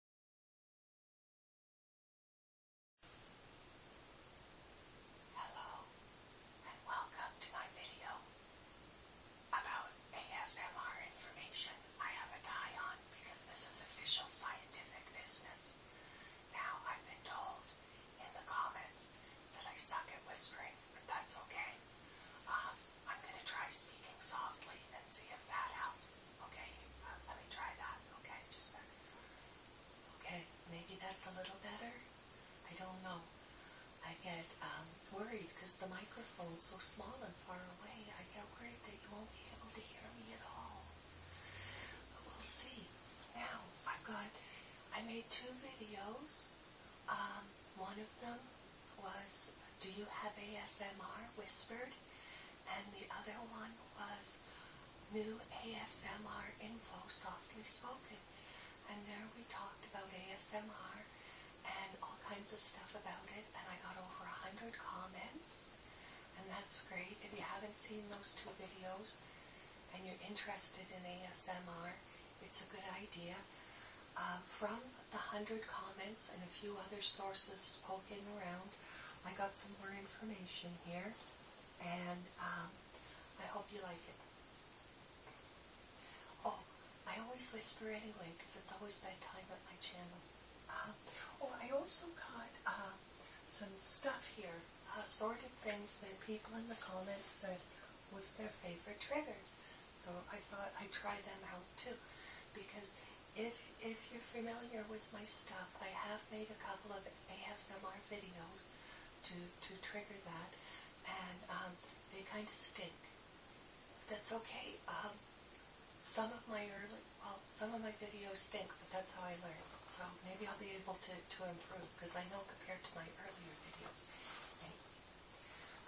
Hello and welcome to my video about ASMR information. I have a tie on because this is official scientific business. Now I've been told in the comments that I suck at whispering, but that's okay. Um, I'm going to try speaking softly and see if that helps. Okay, uh, let me try that. Okay, just a Okay, maybe that's a little better. I don't know. I get um, worried because the microphone's so small and far away. I get worried that you won't be able to hear me at all. But we'll see. Now, I've got, I made two videos. Um, one of them was, do you have ASMR whispered? and the other one was New ASMR Info Softly Spoken. And there we talked about ASMR and all kinds of stuff about it, and I got over a hundred comments, and that's great. If you haven't seen those two videos and you're interested in ASMR, it's a good idea. Uh, from the hundred comments and a few other sources poking around, I got some more information here, and um, I hope you like it. Oh, I always whisper anyway because it's always time at my channel. Um, oh, I also got um, some stuff here, assorted things that people in the comments said was their favorite triggers. So I thought I'd try them out too because if if you're familiar with my stuff, I have made a couple of ASMR videos to to trigger that, and um, they kind of stink. But That's okay. Um, some of my early, well, some of my videos stink, but that's how I learned. So maybe I'll be able to to improve because I know compared to my earlier videos.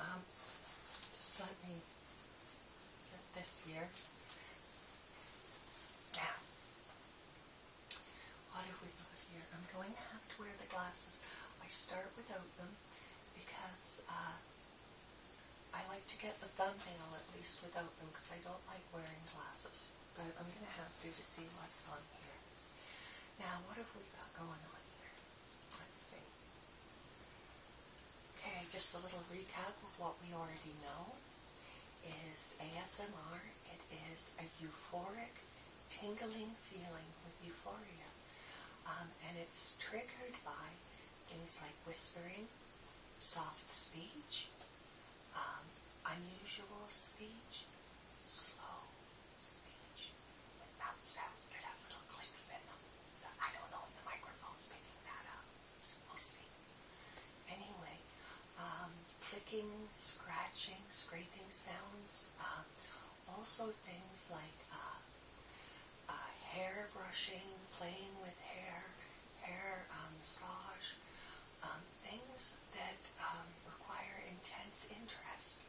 Um, just let me this year. Now, what have we got here? I'm going to have to wear the glasses. I start without them because uh, I like to get the thumbnail at least without them because I don't like wearing glasses. But I'm going to have to see what's on here. Now, what have we got going on here? Let's see. Okay, just a little recap of what we already know is ASMR. It is a euphoric, tingling feeling with euphoria. Um, and it's triggered by things like whispering, soft speech, um, unusual speech, slow speech, with mouth sounds that have little clicks in them. So I don't know if the microphone's picking that up. We'll see. Anyway, um, clicking, scratching, scraping sounds, um, also things like uh, uh, hair brushing, playing with hair, hair um, massage, things that require intense interest.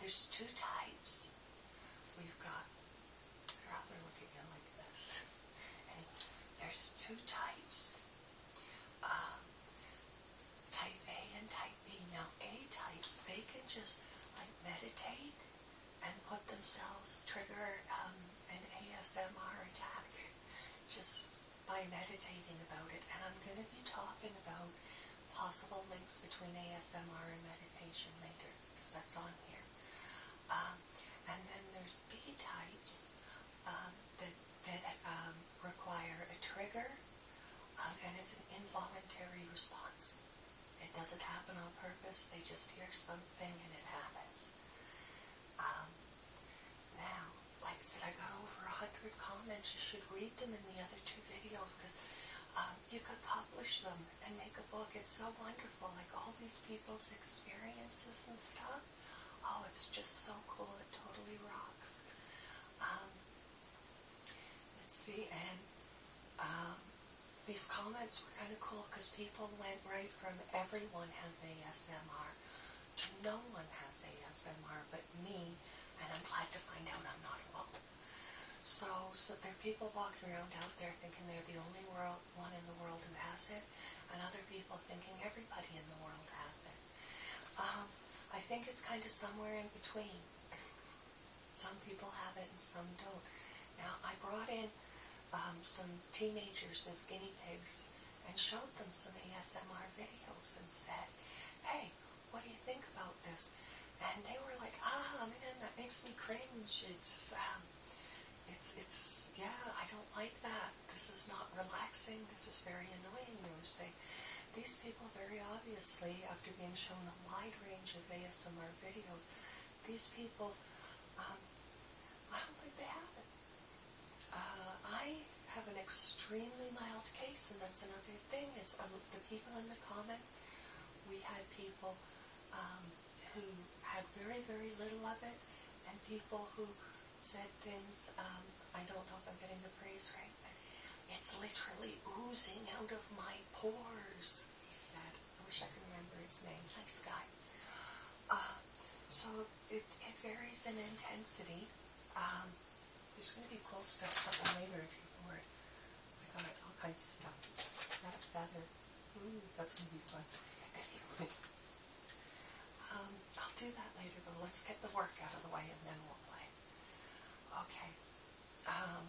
there's two types. We've got rather look at it like this. there's two types. Um, type A and type B. Now, A types, they can just like meditate and put themselves, trigger um, an ASMR attack just by meditating about it. And I'm going to be talking about possible links between ASMR and meditation later because that's on here. Um, and then there's B types um, that um, require a trigger, um, and it's an involuntary response. It doesn't happen on purpose. They just hear something and it happens. now, like I said, I got over a hundred comments. You should read them in the other two videos because you could publish them and make a book. It's so wonderful, like all these people's experiences and stuff. Oh, it's just so cool. It totally rocks. Um, let's see, and um, these comments were kind of cool because people went right from everyone has ASMR to no one has ASMR but me, and I'm glad to find out I'm not alone. So, so there are people walking around out there thinking they're the only world, one in the world who has it, and other people thinking everybody in the world has it. Um, I think it's kind of somewhere in between. some people have it and some don't. Now, I brought in um, some teenagers as guinea pigs and showed them some ASMR videos and said, hey, what do you think about this? And they were like, ah, man, that makes me cringe. It's, uh, it's it's yeah I don't like that. This is not relaxing. This is very annoying. They were saying these people very obviously after being shown a wide range of ASMR videos, these people um, I don't think they have it. Uh, I have an extremely mild case, and that's another thing is um, the people in the comments. We had people. Um, who had very, very little of it, and people who said things, um, I don't know if I'm getting the phrase right, but it's literally oozing out of my pores, he said. I wish I could remember his name. Nice guy. Uh, so it, it varies in intensity. Um, there's going to be cool stuff coming later if you're bored. I got all kinds of stuff that's going to be fun. Anyway, um, I'll do that later, but let's get the work out of the way and then we'll play. Okay. Um,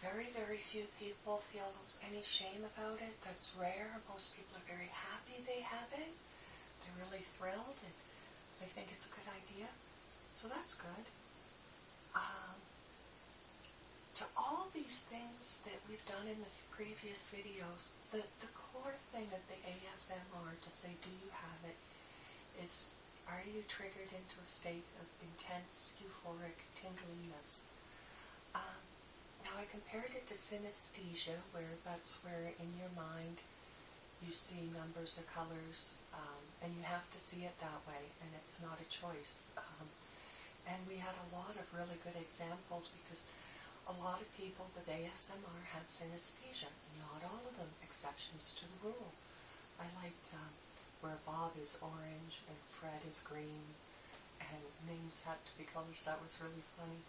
very, very few people feel any shame about it. That's rare. Most people are very happy they have it. They're really thrilled and they think it's a good idea. So that's good. Um, to all these things that we've done in the previous videos, the, the core thing of the ASMR to say, do you have it, is are you triggered into a state of intense, euphoric tingliness? Um, now I compared it to synesthesia, where that's where in your mind you see numbers or colors, um, and you have to see it that way, and it's not a choice. Um, and we had a lot of really good examples because a lot of people with ASMR had synesthesia. Not all of them, exceptions to the rule. I liked um, where Bob is orange and Fred is green and names had to be colors. That was really funny.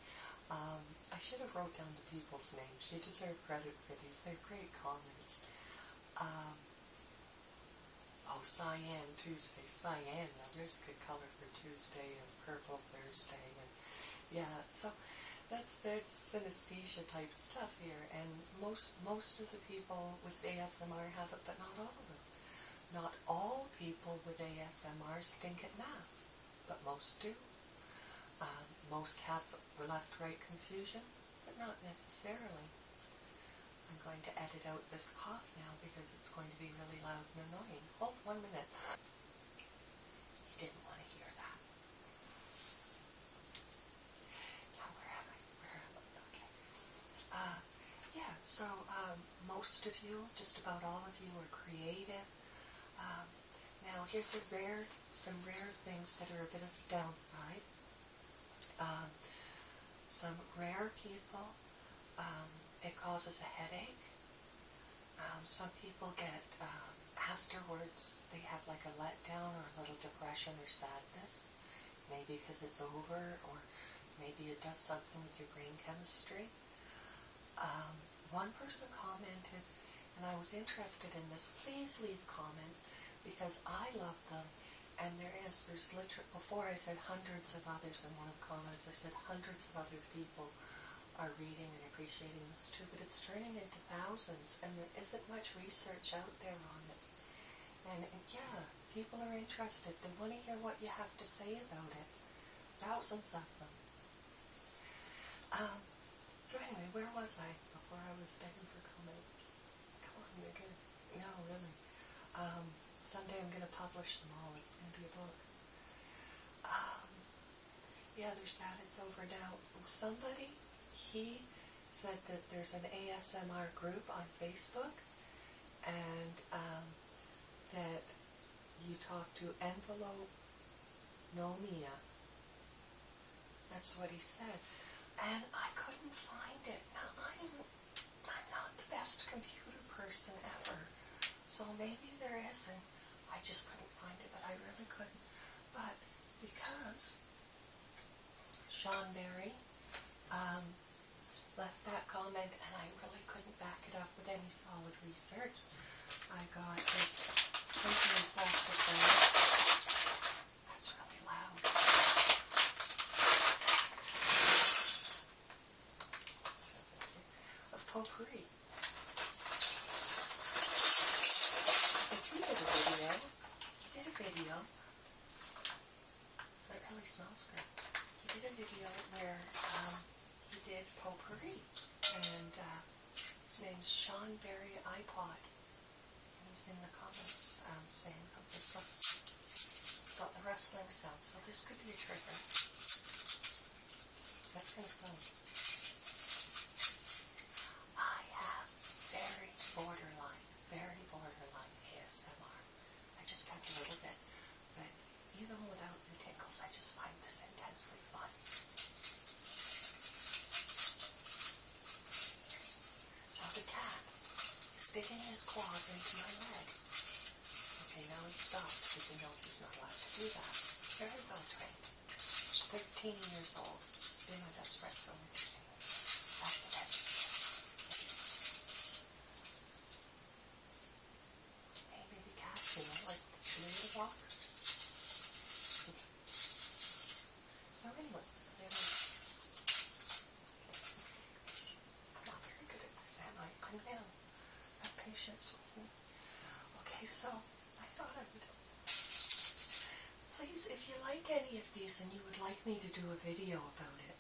Um, I should have wrote down the people's names. You deserve credit for these. They're great comments. Um, Oh, cyan Tuesday. Cyan. there's a good color for Tuesday and purple Thursday. and Yeah, so that's, that's synesthesia type stuff here. And most, most of the people with ASMR have it, but not all of them. Not all people with ASMR stink at math, but most do. Um, most have left-right confusion, but not necessarily. I'm going to edit out this cough now because it's going to be really loud and annoying. Hold oh, one minute. You didn't want to hear that. Now where am I? Where am I? Okay. Uh, yeah, so um, most of you, just about all of you, are creative. Um, now here's a rare, some rare things that are a bit of a downside. Um, some rare people, um, it causes a headache. Um, some people get, afterwards, they have like a letdown or a little depression or sadness. Maybe because it's over or maybe it does something with your brain chemistry. one person commented, and I was interested in this. Please leave comments because I love them and there is, there's literally, before I said hundreds of others in one of the comments, I said hundreds of other people are reading and appreciating this too, but it's turning into thousands, and there isn't much research out there on it. And, and yeah, people are interested. They want to hear what you have to say about it. Thousands of them. Um, so anyway, where was I before I was begging for comments? Come on, they're good. No, really. Um, someday I'm going to publish them all. It's going to be a book. Um, yeah, they're it's over now. Somebody, he said that there's an ASMR group on Facebook and um, that you talk to envelope nomia. That's what he said. And I couldn't find it. Now I'm I'm not the best computer person ever, so maybe there isn't. I just couldn't find it, but I really couldn't. But because Sean Mary um, left that comment and I really couldn't back it up with any solid research, I got this paper and plastic bag. That's really of potpourri. It's needed a video. He did a video. That really smells good. He did a video where um, he did potpourri. And uh, his name's Sean Barry iPod. And he's in the comments um, saying, again, but this has got the rustling sound, so this could be a trigger. Everything's moving. I have very borderline, very borderline ASMR. I just got a little bit, but even without the tickles, I just find this intensely fun. Now the cat is digging his claws into my leg. Okay, now he stopped because he knows he's not allowed to do that. It's very well trained. He's 13 years old. He's been with us for from the Hey, baby cat, you know, like the community walks? So anyway, not very good at this, am I? I know. Have patience with me. Okay, so I thought I would. Please, if you like any of these and you would like me to do a video about it,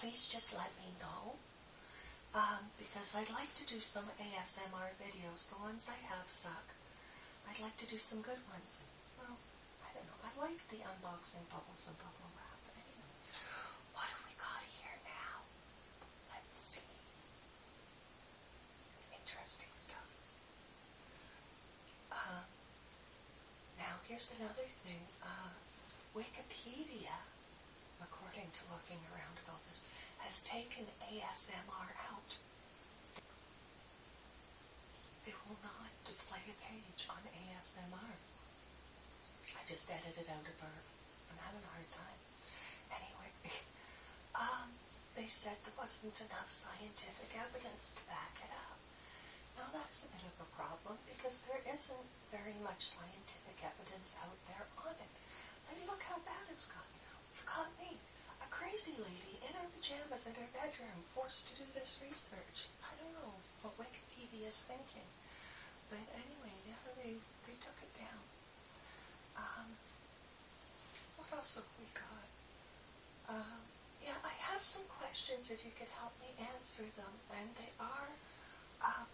please just let me know. because I'd like to do some ASMR videos. The ones I have suck. I'd like to do some good ones. I don't know. I like the unboxing bubbles and bubble wrap. what have we got here now? Let's see. Interesting stuff. Uh, now here's another thing. Uh, Wikipedia, according to looking around about this, has taken ASMR out. They will not display a page on ASMR. I just edited out a verb. I'm having a hard time. Anyway, um, they said there wasn't enough scientific evidence to back it up. Now that's a bit of a problem because there isn't very much scientific evidence out there on it. And look how bad it's gotten. We've got me, a crazy lady in her pajamas in her bedroom, forced to do this research. I don't know what Wikipedia is thinking. But anyway, they, they took it down. Um, what else have we got? Um, yeah, I have some questions if you could help me answer them. And they are, uh,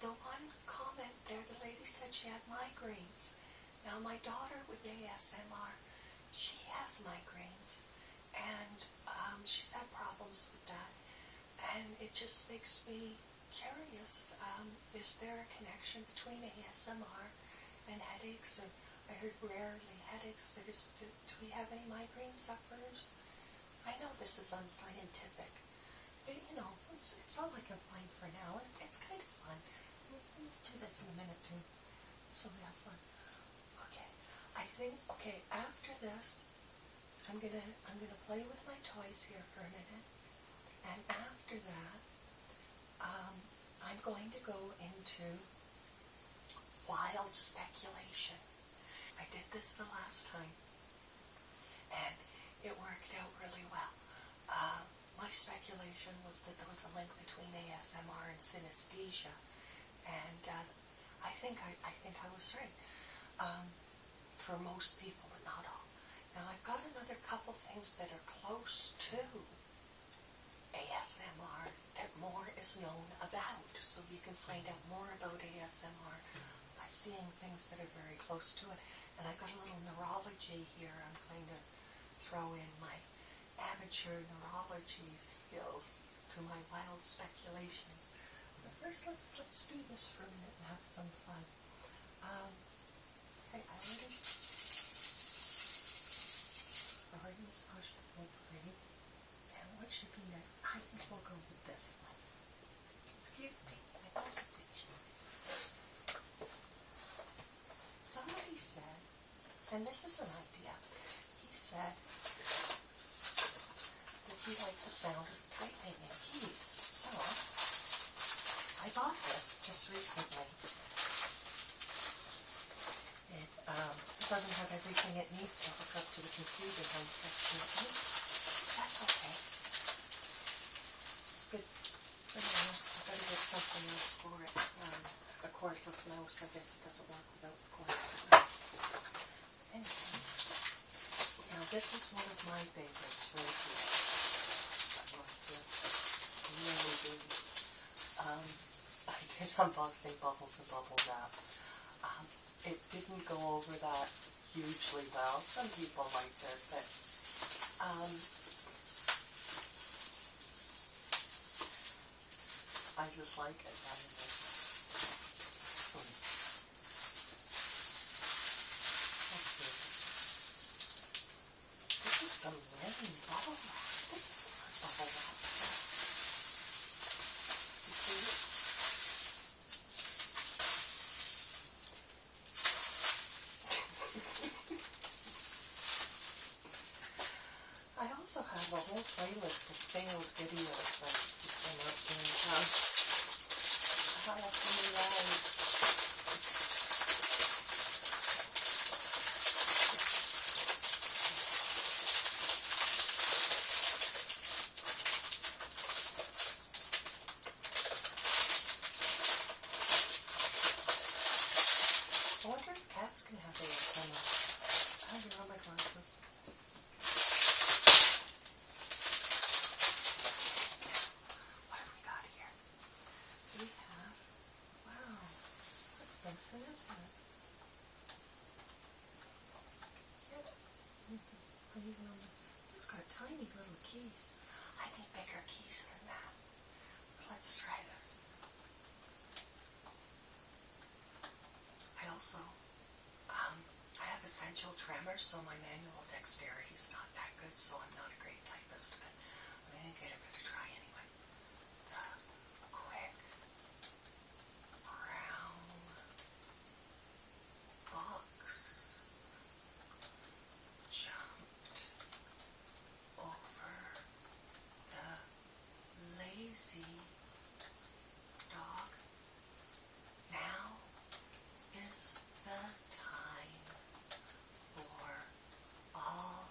the one comment there, the lady said she had migraines. Now my daughter with ASMR, she has migraines and um, she's had problems with that. And it just makes me curious. Um, is there a connection between ASMR and headaches? I heard rarely headaches, but do, we have any migraine sufferers? I know this is unscientific, but you know, it's, all I can find for now. It, it's kind of fun. Let's do this in a minute, too, so we have fun. Okay, I think okay, after this I'm gonna I'm gonna play with my toys here for a minute. And after that, um, I'm going to go into wild speculation. I did this the last time, and it worked out really well. Uh, my speculation was that there was a link between ASMR and synesthesia, and uh, I think I, think I was right um, for most people, but not all. Now I've got another couple things that are close to ASMR that more is known about, so you can find out more about ASMR by seeing things that are very close to it. And I've got a little neurology here. I'm going to throw in my amateur neurology skills to my wild speculations. But first, let's let's do this for a minute and have some fun. Um, hey, I already and what should be next? I think we'll go with this one. Excuse me, my voice is itchy. Somebody said, and this is an idea he said that he liked the sound of typing in keys. So I bought this just recently. It, um, it doesn't have everything it needs to hook up to the computer, unfortunately. That's okay. It's good for now. I better get something else for it. Um, of course, this mouse, I guess it doesn't work without now this is one of my favorites um, I did unboxing Bubbles and bubbles Wrap. Um, it didn't go over that hugely well. Some people liked it, but um, I just like it. This is some living bubble wrap. This is not bubble wrap. I also have a whole playlist of failed videos that came up I wonder if cats can have ASMR. I don't know my glasses. What have we got here? We have, wow, what's something that? it? has got tiny little keys. I need bigger keys than that. let's try this. I also, um, I have essential tremor, so my manual dexterity is not that good, so I'm not a great typist, but I'm going to give it a try anyway. The quick brown box jumped over the lazy now is the time for all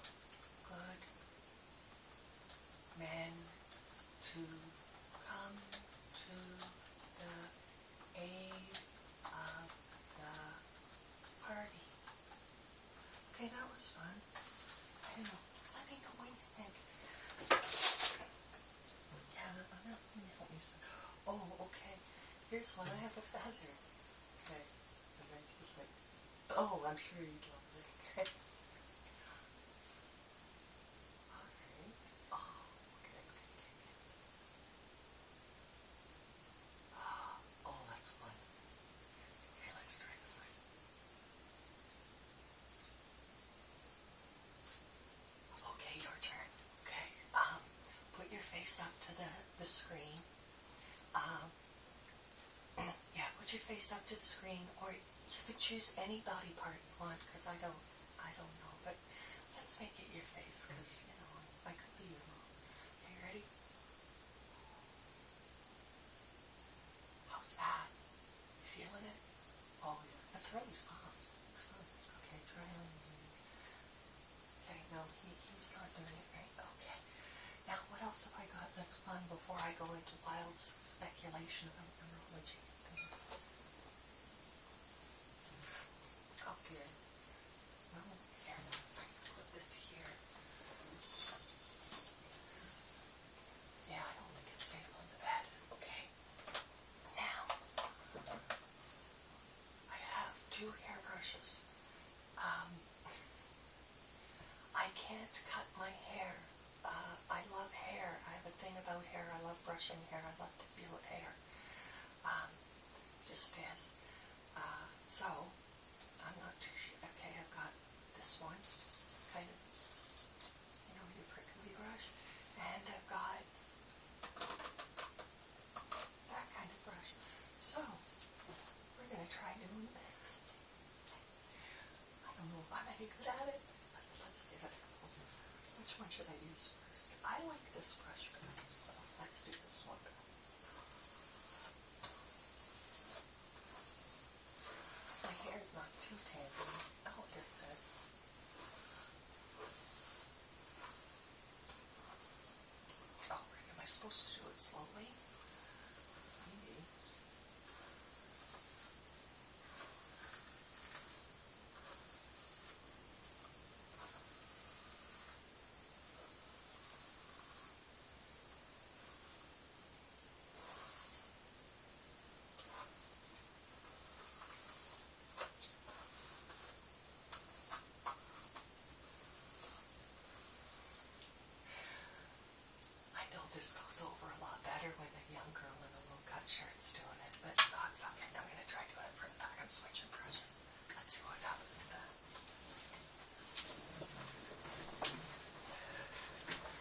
good men to come to the aid of the party. Okay, that was fun. I don't know. Let me know what you think. Yeah, I'm not going to help you. So. Oh, okay. Here's one. I have a feather. Okay. And then she's like, oh, I'm sure you'd love that. Okay. Alright. Oh, okay, okay, okay. Oh, that's fun. Here, let's try this one. Okay, your turn. Okay. Um, put your face up to the, the screen. Um, yeah, put your face up to the screen, or you can choose any body part you want, because I don't, I don't know, but let's make it your face, because, you know, I could be wrong. Okay, ready? How's that? You feeling it? Oh yeah. That's really soft. That's good. Okay, try on. Okay, no, he's not doing it right. Okay. Now, what else have I got that's fun before I go into wild speculation about neurology things? Okay. Oh, well, here, I can put this here. Yeah, I don't think it's the bed. Okay. Now, I have two hairbrushes. Um, I can't cut my hair. Uh, I love hair. I have a thing about hair. I love brushing hair. I love the feel of hair. Um, just as. Uh, so, I'm not too Okay, I've got this one. It's kind of, you know, your prickly brush. And I've got that kind of brush. So, we're going to try doing this. I don't know if I'm any good at it, but let's give it Which one should I use first? I like this brush best, so let's do this one best. My hair is not too tangled. Oh, it is good. Oh, am I supposed to do it slowly? Maybe. I know this goes over a lot better when a young girl in a little cut shirt's doing it, but God's okay. I'm going to try doing it from the back and switch brushes. Let's see what happens with that.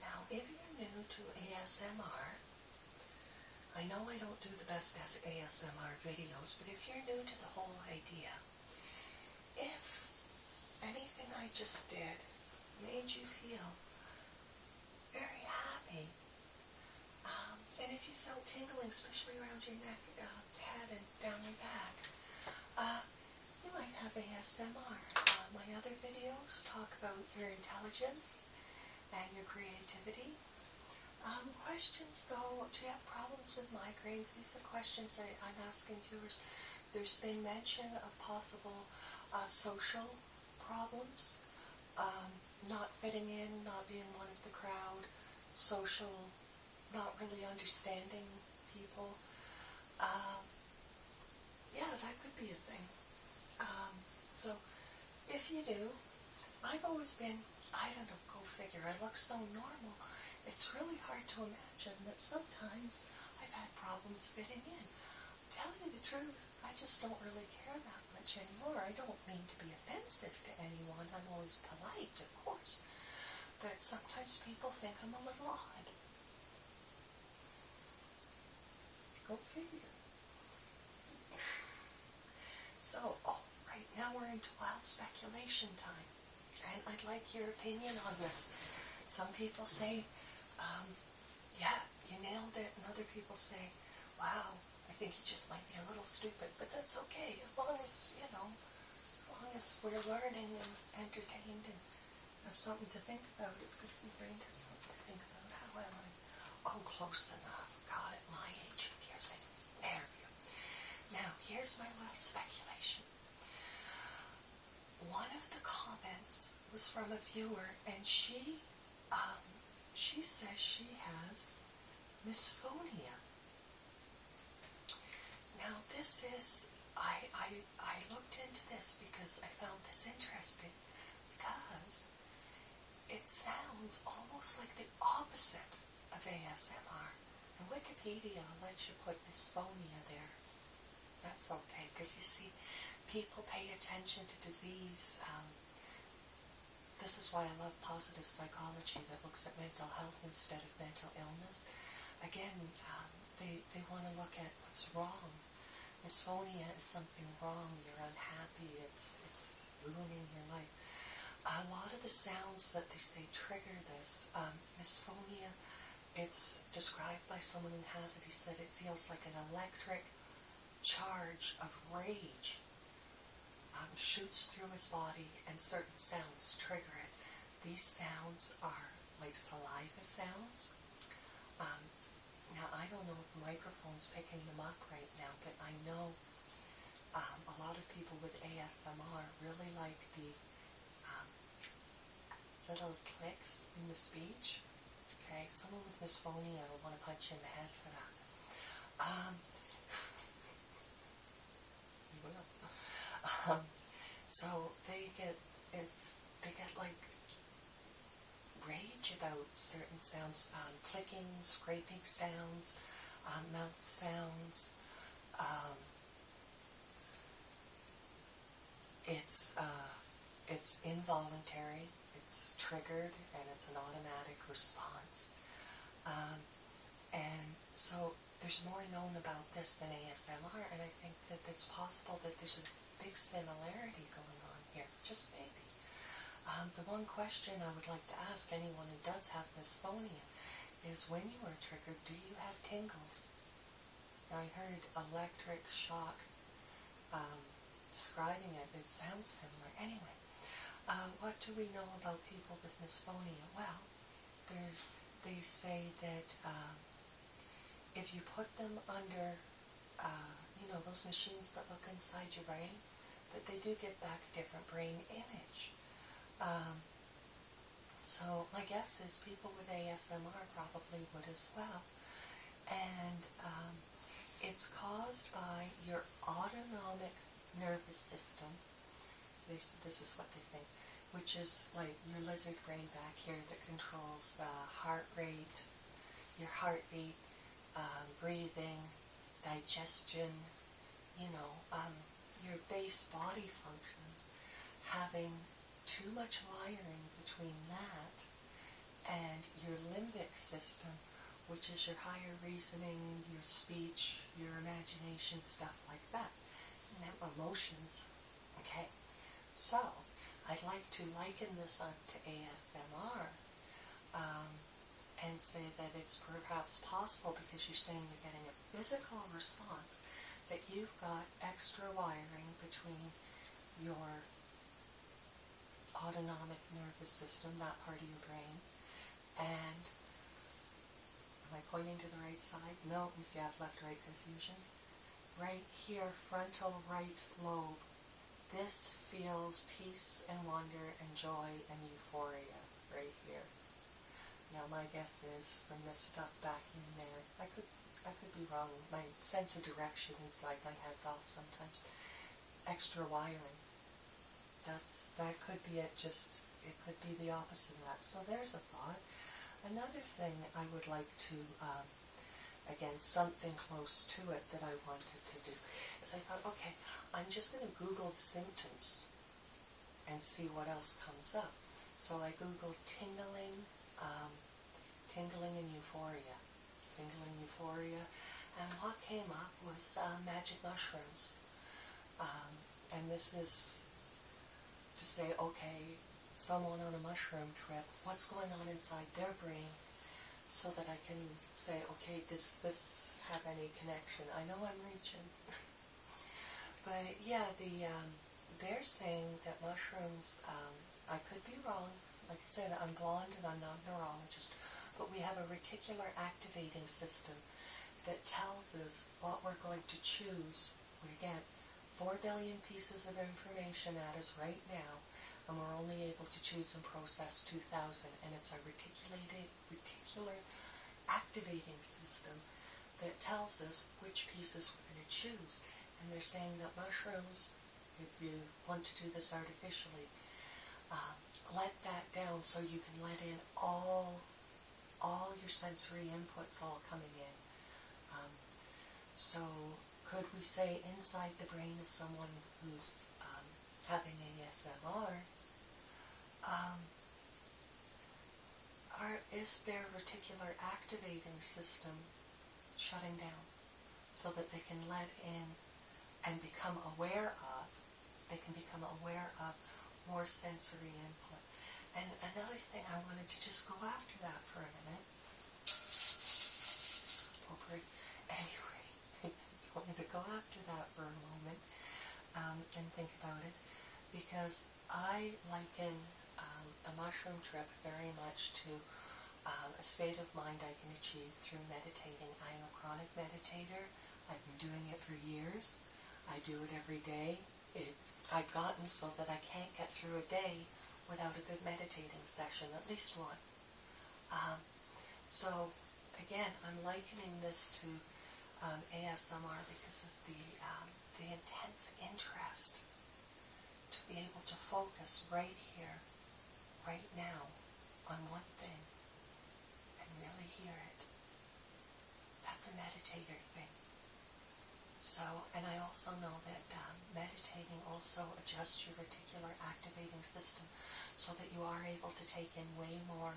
Now, if you're new to ASMR, I know I don't do the best ASMR videos, but if you're new to the whole idea, if anything I just did made you feel very happy, um, and if you felt tingling, especially around your neck, uh, Head and down your back. Uh, you might have ASMR. Uh, my other videos talk about your intelligence and your creativity. Um, questions though, do you have problems with migraines? These are questions I, am asking you. There's been mention of possible uh, social problems, um, not fitting in, not being one of the crowd, social not really understanding people. Um, yeah, that could be a thing. Um, so, if you do, I've always been, I don't know, go figure, I look so normal. It's really hard to imagine that sometimes I've had problems fitting in. Tell you the truth, I just don't really care that much anymore. I don't mean to be offensive to anyone. I'm always polite, of course but sometimes people think I'm a little odd. Go figure. So, oh, right now we're into wild speculation time, and I'd like your opinion on this. Some people say, um, yeah, you nailed it, and other people say, wow, I think you just might be a little stupid, but that's okay, as long as, you know, as long as we're learning and entertained and have something to think about, it's good for the brain to have something to think about. How am I? I'm oh, close enough. God, at my age, here's a there you. Now, here's my wild speculation. One of the comments was from a viewer, and she, um, she says she has misophonia. Now this is I I I looked into this because I found this interesting because it sounds almost like the opposite of ASMR. And Wikipedia lets you put dysphonia there. That's okay because you see people pay attention to disease. Um, this is why I love positive psychology that looks at mental health instead of mental illness. Again, um, they, they want to look at what's wrong. Dysphonia is something wrong. You're unhappy. It's, it's ruining your life. A lot of the sounds that they say trigger this. Um, dysphonia, it's described by someone who has it. He said it feels like an electric charge of rage um, shoots through his body and certain sounds trigger it. These sounds are like saliva sounds. Um, now, I don't know if the microphone's picking them up right now, but I know um, a lot of people with ASMR really like the um, little clicks in the speech. Okay, someone with I don't want to punch you in the head for that you um, will. so they get it's they get like rage about certain sounds, um, clicking, scraping sounds, um, mouth sounds. Um, it's uh, it's involuntary. It's triggered, and it's an automatic response. and so there's more known about this than ASMR, and I think that it's possible that there's a big similarity going on here, just maybe. Um, the one question I would like to ask anyone who does have misphonia is when you are triggered, do you have tingles? I heard electric shock um, describing it. It sounds similar. Anyway, uh, what do we know about people with misphonia? Well, they say that um, if you put them under, uh, you know, those machines that look inside your brain, that they do get back a different brain image. Um, so my guess is people with ASMR probably would as well. And um, it's caused by your autonomic nervous system this is what they think, which is like your lizard brain back here that controls the heart rate, your heartbeat, um, breathing, digestion, you know, um, your base body functions. Having too much wiring between that and your limbic system, which is your higher reasoning, your speech, your imagination, stuff like that emotions. Okay, so I'd like to liken this up to ASMR um, and say that it's perhaps possible because you're saying you're getting a physical response that you've got extra wiring between your autonomic nervous system, that part of your brain, and am I pointing to the right side? No, you see I have left-right confusion. Right here, frontal right lobe. This feels peace and wonder and joy and euphoria right here. Now my guess is from this stuff back in there, I could I could be wrong. My sense of direction inside my head's off sometimes. Extra wiring. That's That could be it, just, it could be the opposite of that. So there's a thought. Another thing I would like to, um, again, something close to it that I wanted to do, is I thought, okay, I'm just going to Google the symptoms and see what else comes up. So I googled tingling, um, tingling and euphoria, tingling euphoria, and what came up was uh, magic mushrooms. Um, and this is to say, okay, someone on a mushroom trip, what's going on inside their brain so that I can say, okay, does this have any connection? I know I'm reaching. but yeah, the um, they're saying that mushrooms, um, I could be wrong. Like I said, I'm blonde and I'm not a neurologist. But we have a reticular activating system that tells us what we're going to choose. We get 4 billion pieces of information at us right now, and we're only able to choose and process 2,000. And it's a reticulated, reticular activating system that tells us which pieces we're going to choose. And they're saying that mushrooms, if you want to do this artificially, uh, let that down so you can let in all all your sensory inputs all coming in. Um, so could we say inside the brain of someone who's um, having ASMR, um, are, is their reticular activating system shutting down so that they can let in and become aware of they can become aware of more sensory input. And another thing, I wanted to just go after that for a minute. Over anyway, I wanted to go after that for a moment um, and think about it because I liken um, a mushroom trip very much to um, a state of mind I can achieve through meditating. I am a chronic meditator. I've been doing it for years. I do it every day. It's, I've gotten so that I can't get through a day without a good meditating session, at least one. Um, so again, I'm likening this to um, ASMR because of the, um, the intense interest to be able to focus right here, right now, on one thing and really hear it that's a meditator thing. So, and I also know that um, meditating also adjusts your reticular activating system so that you are able to take in way more,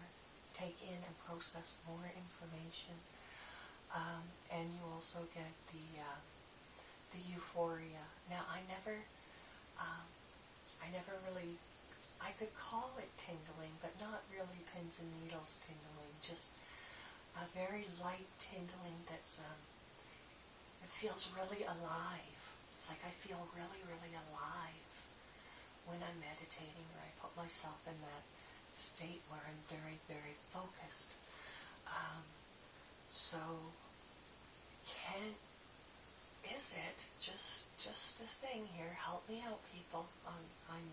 take in and process more information. Um, and you also get the, um, the euphoria. Now, I never, I never really I could call it tingling, but not really pins and needles tingling, just a very light tingling that's, um, it feels really alive. It's like I feel really, really alive when I'm meditating or I put myself in that state where I'm very, very focused. Um, so, can, is it just, just a thing here? Help me out, people. I'm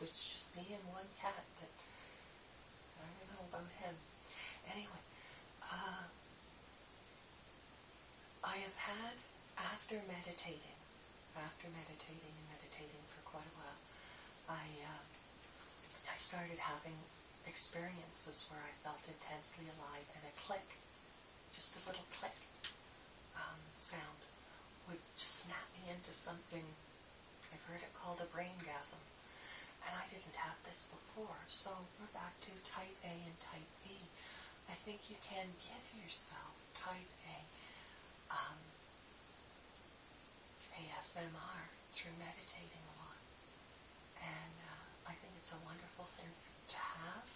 it's just me and one cat, That I don't know about him. Anyway, uh, I have had, after meditating, after meditating and meditating for quite a while, I, um, I started having experiences where I felt intensely alive and a click, just a little click. Um, sound would just snap me into something. I've heard it called a braingasm, and I didn't have this before. So we're back to type A and type B. I think you can give yourself type A um, ASMR through meditating a lot. And uh, I think it's a wonderful thing to have.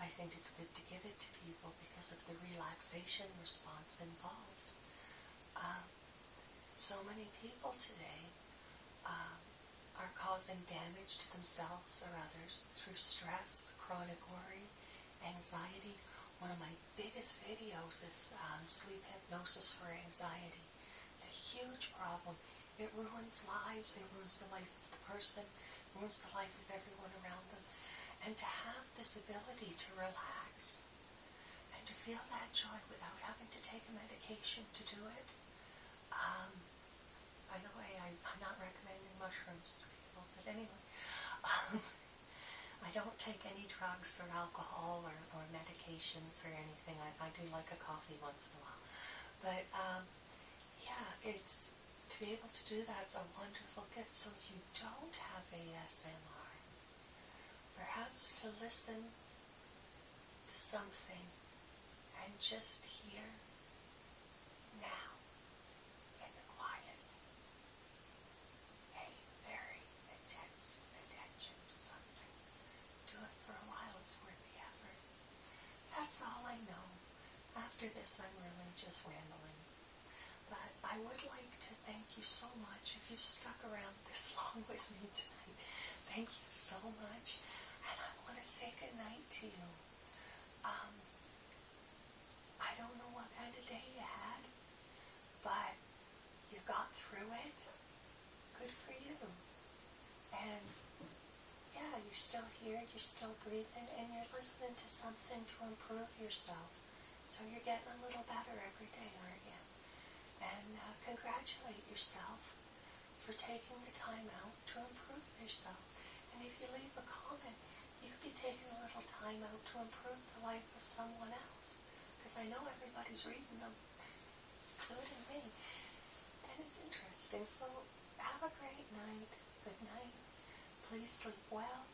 I think it's good to give it to people because of the relaxation response involved. Um, so many people today um, are causing damage to themselves or others through stress, chronic worry, anxiety. One of my biggest videos is um, sleep hypnosis for anxiety. It's a huge problem. It ruins lives, it ruins the life of the person, ruins the life of everyone around them. And to have this ability to relax and to feel that joy without having to take a medication to do it. Um, by the way, I, am not recommending mushrooms to people, but anyway, um, I don't take any drugs or alcohol or, medications or anything. I, do like a coffee once in a while. But um, yeah, it's to be able to do that's a wonderful gift. So if you don't have ASMR, perhaps to listen to something and just hear now in the quiet a very intense attention to something. Do it for a while, it's worth the effort. That's all I know. After this, I'm really just rambling. But I would like to thank you so much if you've stuck around this long with me tonight. Thank you so much. And I want to say good night to you. Um, I don't know what kind of day you had, but you got through it. Good for you. And yeah, you're still here, you're still breathing, and you're listening to something to improve yourself. So you're getting a little better every day, aren't you? And uh, congratulate yourself for taking the time out to improve yourself. And if you leave a comment, you could be taking a little time out to improve the life of someone else. Because I know everybody's reading them, including me. And it's interesting. So have a great night. Good night. Please sleep well.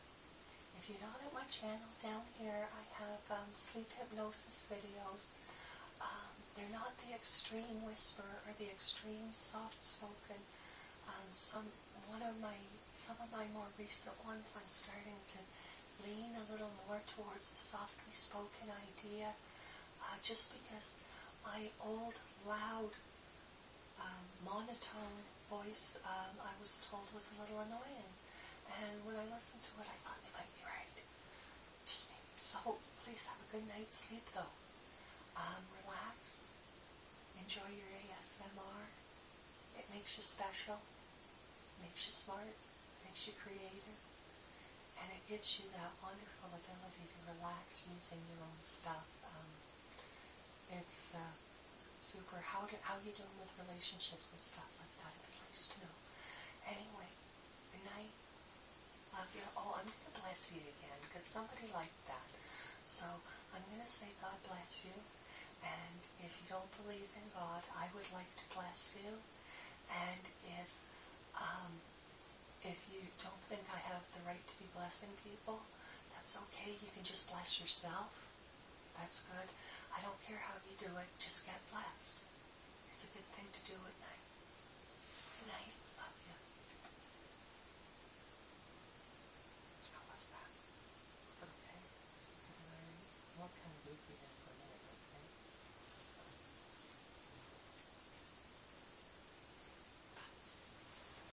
If you're not at my channel, down here I have um, sleep hypnosis videos. Um, they're not the extreme whisper or the extreme soft spoken. Um, some one of my some of my more recent ones I'm starting to lean a little more towards the softly spoken idea, uh, just because my old loud um, monotone voice um, I was told was a little annoying. And when I listened to it, I thought they might be right. Just me. So please have a good night's sleep, though. Um, relax. Enjoy your ASMR. It makes you special. Makes you smart. Makes you creative. And it gives you that wonderful ability to relax using your own stuff. Um, it's uh, super. How do, how you doing with relationships and stuff like that? it would be nice to know. Anyway, good night. Love you. Oh, I'm gonna bless you again because somebody liked that. So I'm gonna say God bless you. And if you don't believe in God, I would like to bless you. And if um, if you don't think I have the right to be blessing people, that's okay. You can just bless yourself. That's good. I don't care how you do it. Just get blessed. It's a good thing to do at night. night. Love you. How was that? Was it okay? What kind of goofy for a minute,